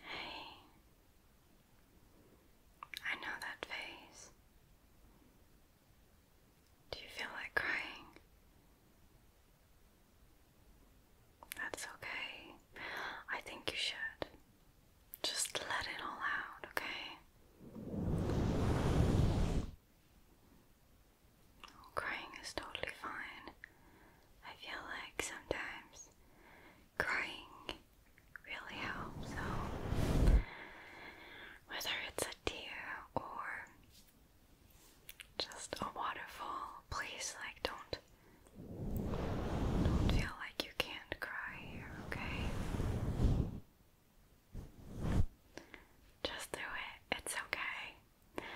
Hey, I know that face. Do you feel like crying? That's okay. I think you should. Just let it all out, okay? crying is totally fine. I feel like sometimes crying really helps. So, whether it's a tear or just a waterfall, please, like, don't don't feel like you can't cry okay? Just do it. It's okay.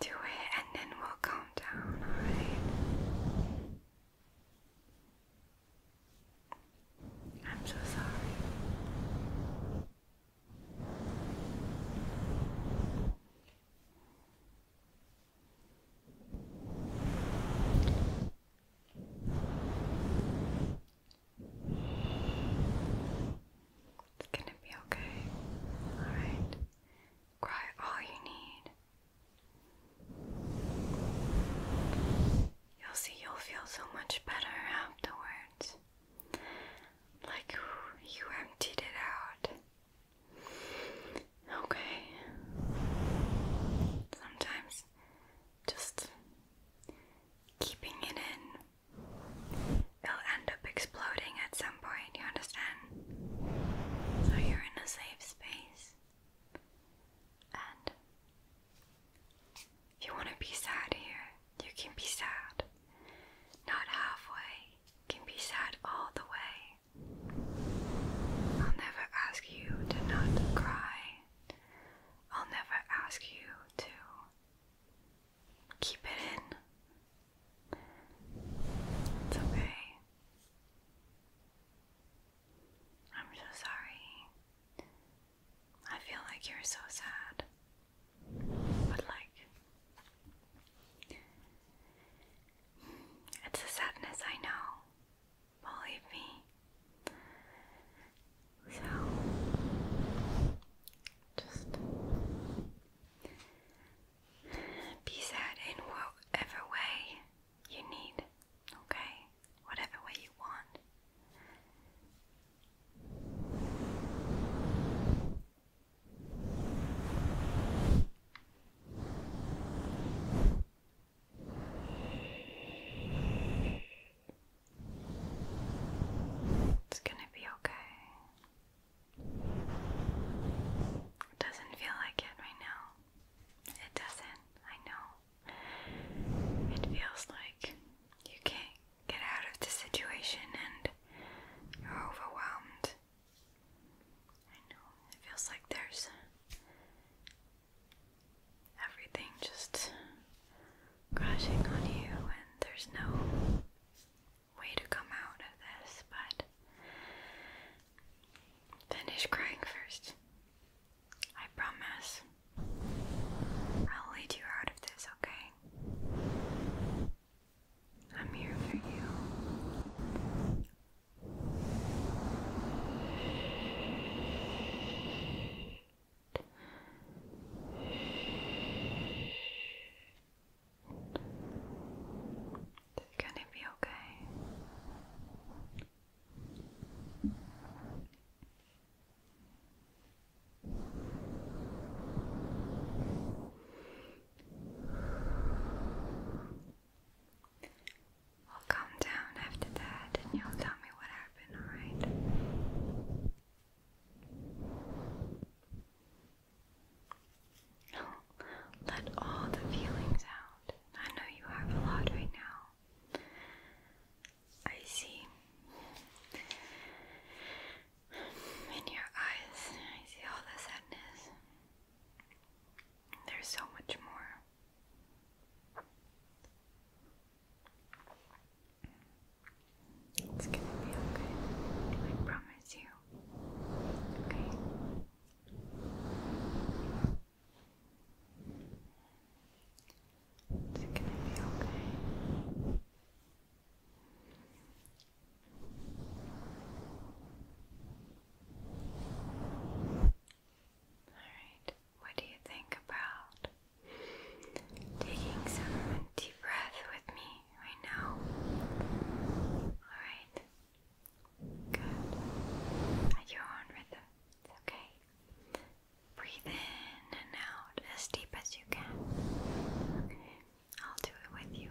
Do it and then we'll calm down, alright? I'm so sorry. It's gonna be okay. Alright. Cry all you need. You'll see you'll feel so much better afterwards. Like you emptied it out. Okay. Sometimes just keeping it in, it'll end up exploding at some point, you understand? So you're in a safe space. And if you want to be sad here, you can be sad. Not halfway, can be sad all the way. I'll never ask you to not cry. I'll never ask you to keep it in. It's okay. I'm so sorry. I feel like you're so sad. But, like, it's a sadness I know. Believe me. So, just be sad in whatever way you need, okay? Whatever way you want. It's going to be okay. It doesn't feel like it right now it doesn't. I know. It feels like you can't get out of the situation and you're overwhelmed. I know. It feels like there's everything just crashing on you and there's no way to come out of this, but Finish crying first. I promise. I'll lead you out of this, okay? I'm here for you. It's gonna be okay. I'll calm down after that and you'll tell me what happened, alright? Let all the feelings out. I know you have a lot right now. I see. In your eyes, I see all the sadness. There's so much more. It's gonna be okay. I promise you. Okay. It's gonna be okay. Alright, what do you think about taking some deep breaths with me right now? Alright, at your own rhythm. It's okay. Breathe in and out as deep as you can. I'll do it with you.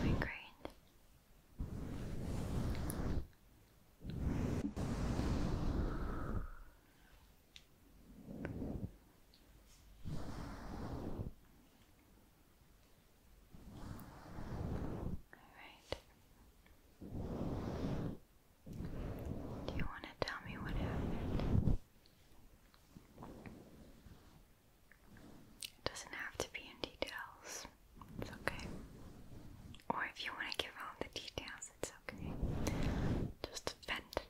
Doing great. All right. Do you want to tell me what happened? It doesn't have to be in details. It's okay. Or if you want to give all the details, it's okay. Just vent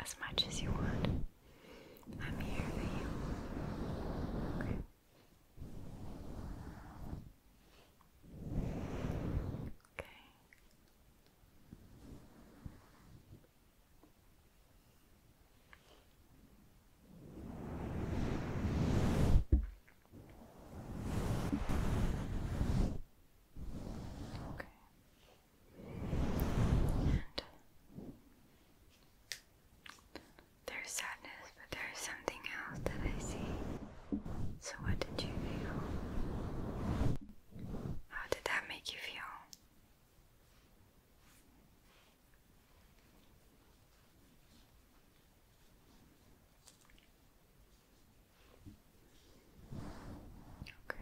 as much as you want. I'm here for you. Okay. Okay. And there's sadness, but there's something else that I see. So, what did you feel? How did that make you feel? Okay.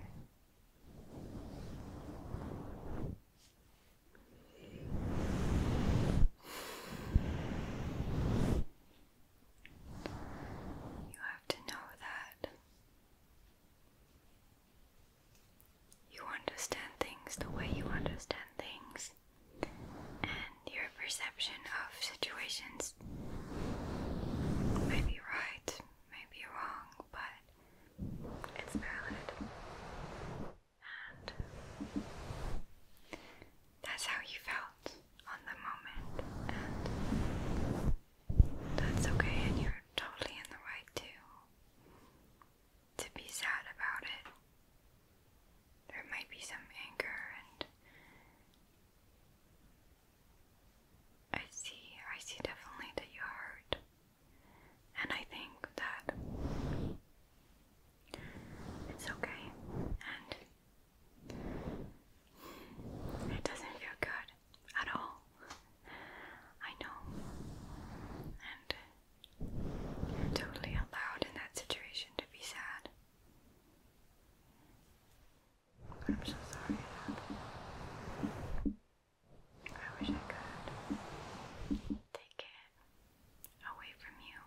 You have to know that you understand things the way you understand things, and your perception of situations may be right, may be wrong, but it's valid. And that's how you felt on the moment, and that's okay, and you're totally in the right to to be sad about it. There might be some anger, and I see, I see definitely that you are hurt, and I think that it's okay, and it doesn't feel good at all. I know, and you're totally allowed in that situation to be sad. I'm so sorry I wish I could take it away from you.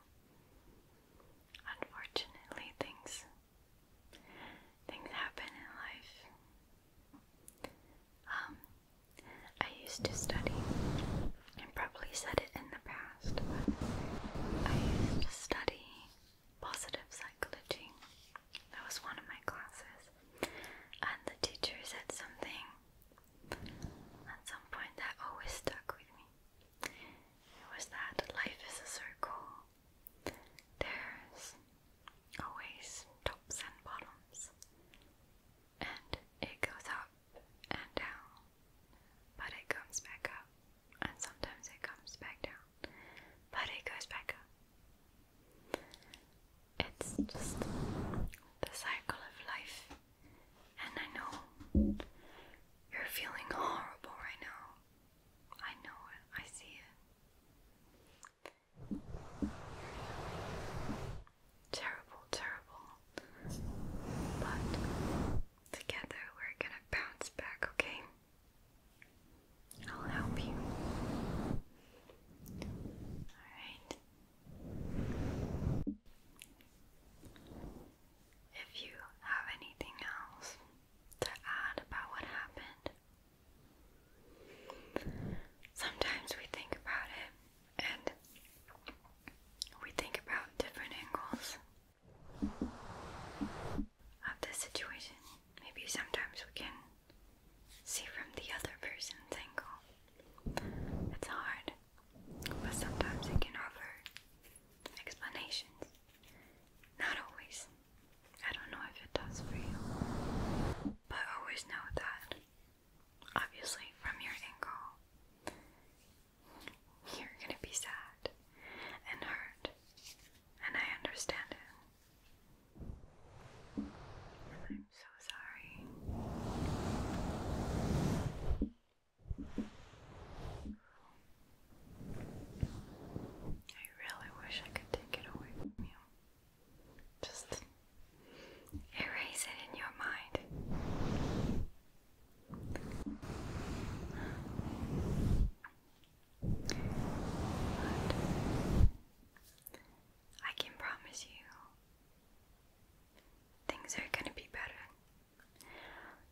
Unfortunately, things things happen in life. Um, I used to study, I probably said it in the past, but I used to study positive psychology. That was one of my classes. And the teacher said something at some point that always stuck with me. It was that life is a circle. There's always tops and bottoms and it goes up and down, but it comes back up, and sometimes it comes back down, but it goes back up. It's just the cycle of life, and I know you're feeling horrible right now. I know it, I see it. Terrible, terrible. But together we're gonna bounce back, okay? I'll help you. Alright. If you have anything else to add about what happened, sometimes we think about it and we think about different angles of the situation. Maybe sometimes we can see from the other person's angle. It's hard, but sometimes it can offer explanations. Not always. I don't know if it does for you, but always know that obviously, from your ankle, you're gonna be sad and hurt, and I understand it. I'm so sorry. I really wish I could take it away from you. Just erase it in your mind. I can promise you things are going to be better.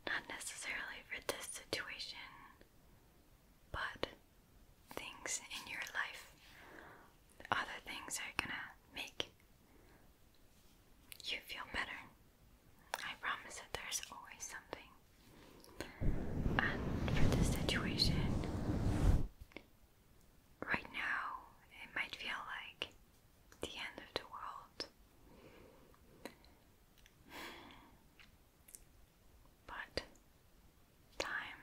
Not necessarily for this situation, but things in your life, other things are going to make you feel better. I promise that there's always something. And for this situation, right now, it might feel like the end of the world. But time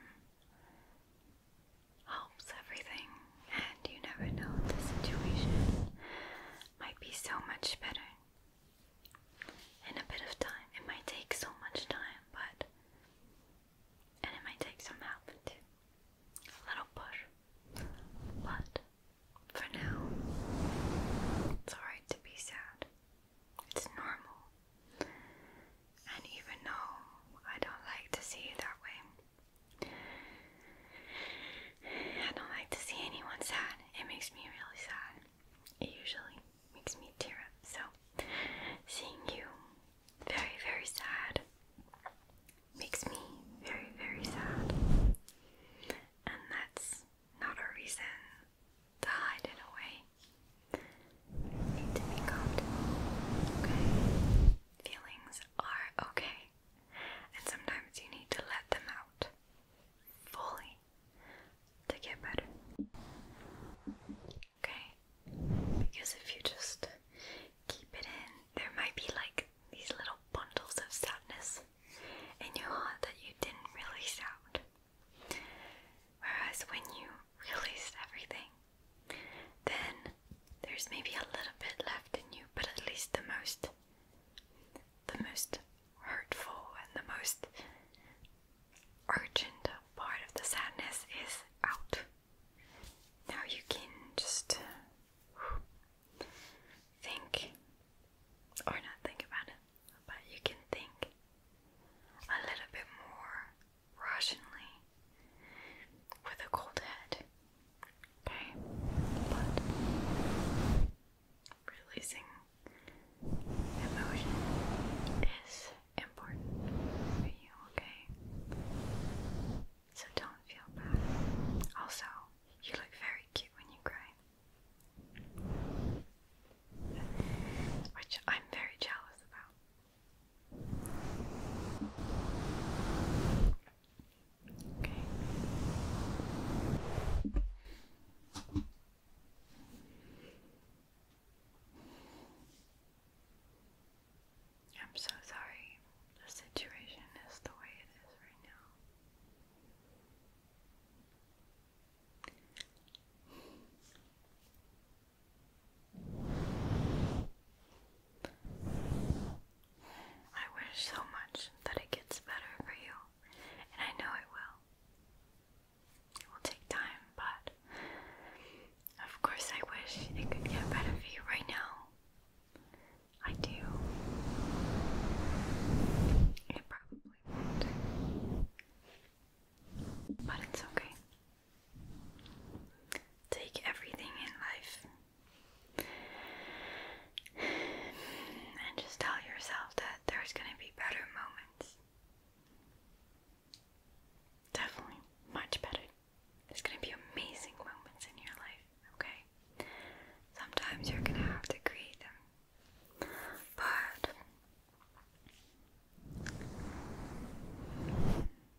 helps everything, and you never know, the situation might be so much better in a bit of time. It might take so much time, but. And it might take some help too. A little push. But for now, it's alright to be sad. It's normal. And even though I don't like to see it that way, I don't like to see anyone sad. It makes me really sad. It usually makes me tear up. So, seeing you very, very sad makes me very, very sad. And that's not a reason to hide it away. You need to be calmed. Okay? Feelings are okay, and sometimes you need to let them out fully to get better. Okay? Because if you just keep it in, there might be like these little bundles of sadness in your heart that you didn't release out. Whereas when you release everything, then there's maybe a little bit left in you, but at least the most the most hurtful and the most urgent part of the sadness is out. Now you can just uh, think or not think about it, but you can think a little bit more rationally with a cold head. Okay? But releasing emotion is important for you, okay? So don't feel bad. Also, you look very cute when you cry. Which I'm very jealous about. I'm so sorry. The situation is the way it is right now. I wish so much that it gets better for you, and I know it will. It will take time, but of course, I wish it could get better for you right now. I do. It probably won't. But it's okay take everything in life and just tell yourself that there's going to be better moments. Definitely much better. There's going to be amazing moments in your life, okay? Sometimes you're going to have to create them. But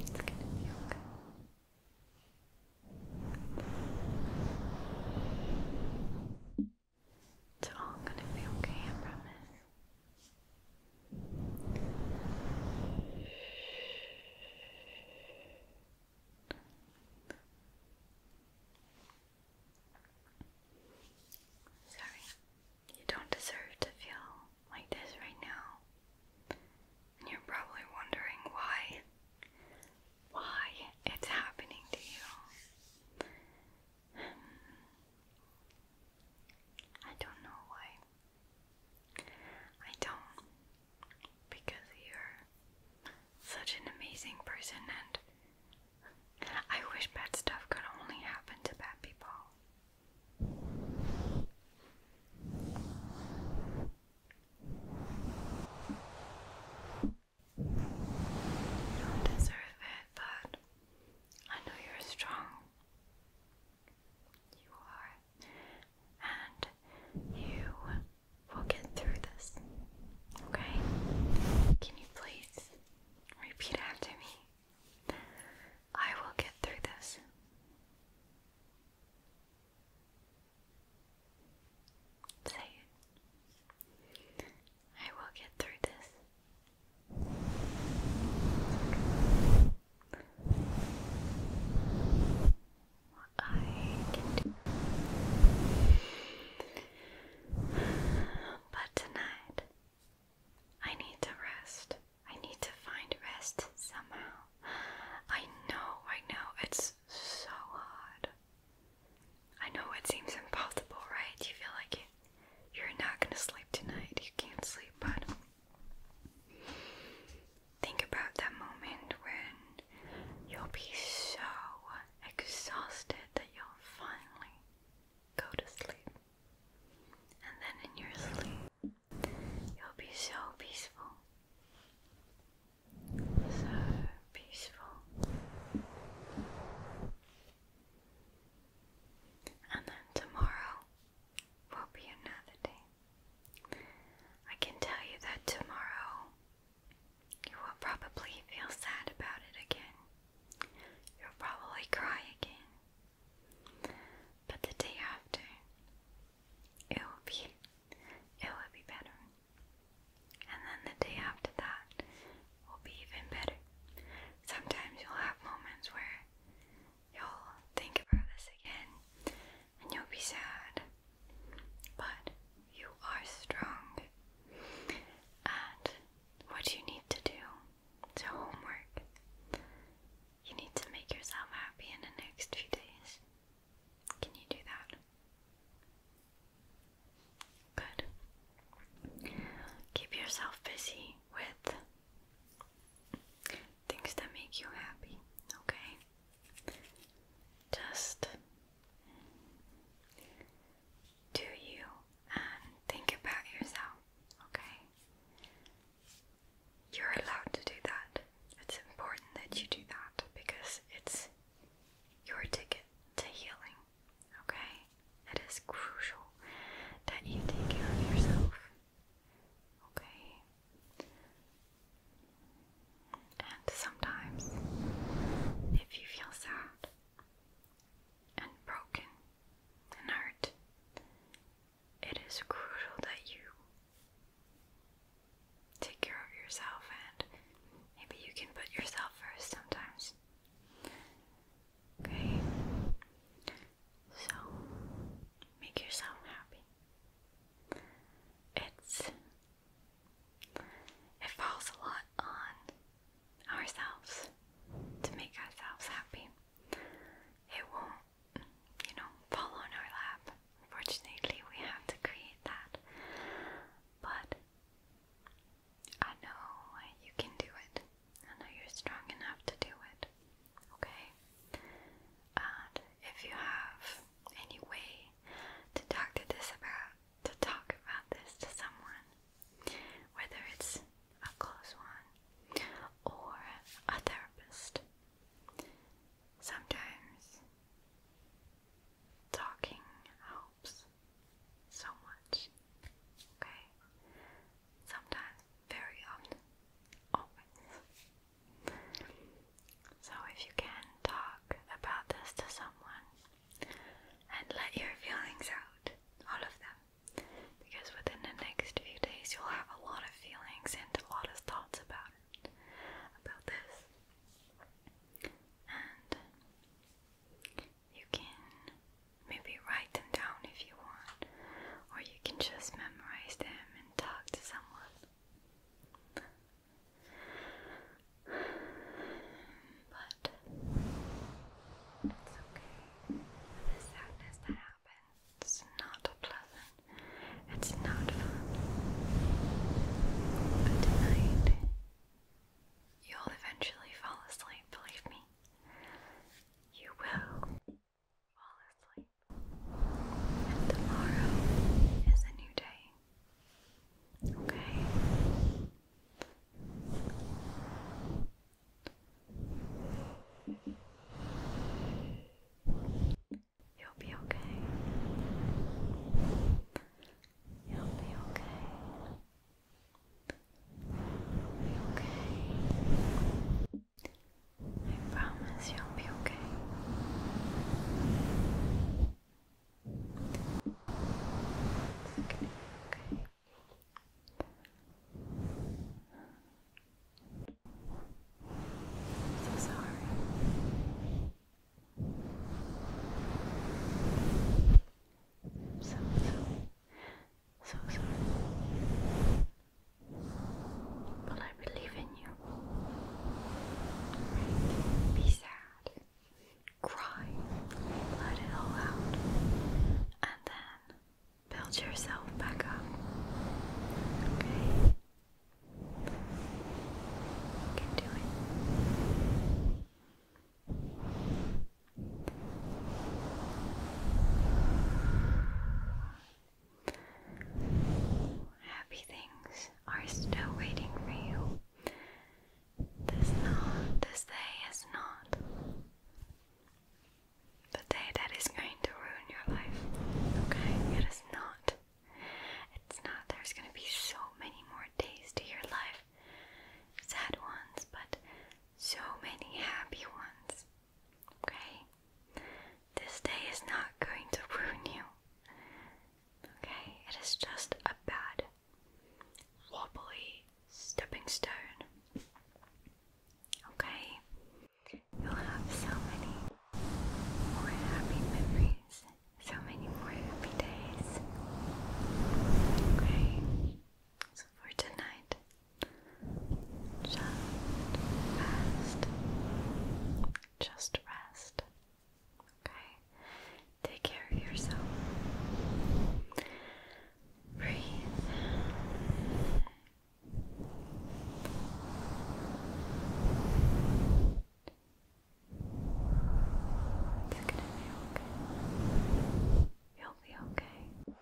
It's gonna be okay. It's all gonna be okay, I promise. Sorry. You don't deserve to feel like this right now. And you're probably wondering why why it's happening to you. Hmm. I don't know why. I don't because you're such an amazing person and I wish bad stuff could only happen to bad people. You don't deserve it, but I know you're strong. You are. And you will get through this. Okay? Can you please repeat after me? I will get through this. Say it. I will get through this. What I can do. But tonight, I need to rest. I need to find rest somehow. I know, I know, it's so hard. I know it seems impossible, right? You feel like you, you're not gonna sleep tonight, you can't sleep, but think about that moment when you'll be so exhausted that you'll finally go to sleep. And then in your sleep, You'll be so peaceful. So peaceful. And then tomorrow will be another day. I can tell you that tomorrow you will probably feel sad about it again. You'll probably cry again. But the day after, it will be, it will be better. And then the day after that will be even better. Sometimes you'll have moments where you'll think about this again and you'll be sad. But you are strong and what you need to do. is homework. You need to make yourself happy in the next few days. Can you do that? Good. Keep yourself busy with things that make you happy, okay? Just do you and think about yourself, okay? You're allowed to do that. It's important that you do that because it's your ticket to healing, okay? It is crucial that you take care of yourself, okay? And sometimes, if you feel sad and broken and hurt, it is crucial that you take care of yourself and maybe you can put yourself first sometimes. Okay? So, make yourself happy. It's. It falls a lot on ourselves to make ourselves happy. It won't you know, fall on our lap. Unfortunately, we have to create that. But I know you can do it. I know you're strong enough to do it. Okay? And if you have any way to talk to this about to talk about this to someone, whether it's a close one or a therapist, Sometimes talking helps so much. Okay? Sometimes, very often, always. So, if you can talk about this to someone and let your feelings out, all of them, because within the next few days you'll have a lot of feelings and a lot of thoughts about it, about this. And you can maybe write them down if you want, or you can just memorize them and talk to someone. But it's okay. The sadness that happens. It's not pleasant. It's not fun. But tonight, you'll eventually fall asleep, believe me. You will fall asleep. And tomorrow is a new day. Okay? You'll be okay. You'll be okay. be okay. I promise you'll be okay. It's okay, okay. I'm so sorry. so, so, so sorry. But I believe in you. Be sad. Cry. Let it all out. And then build yourself back up. Okay. You can do it. Happy things are still waiting for you. This not this day is not the day that is going to ruin your life. Okay? It is not. It's not. There's going to be so many more days to your life. Sad ones, but so many happy ones. Okay? This day is not going to ruin you. Okay? It is just a bad, wobbly stepping stone. Okay? You'll have so many more happy memories, so many more happy days. Okay, so for tonight, just rest. Just rest. Okay, take care of yourself. Breathe you're be okay. You'll be okay.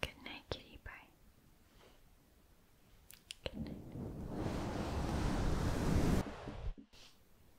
Good night, kitty. Bye. Good night.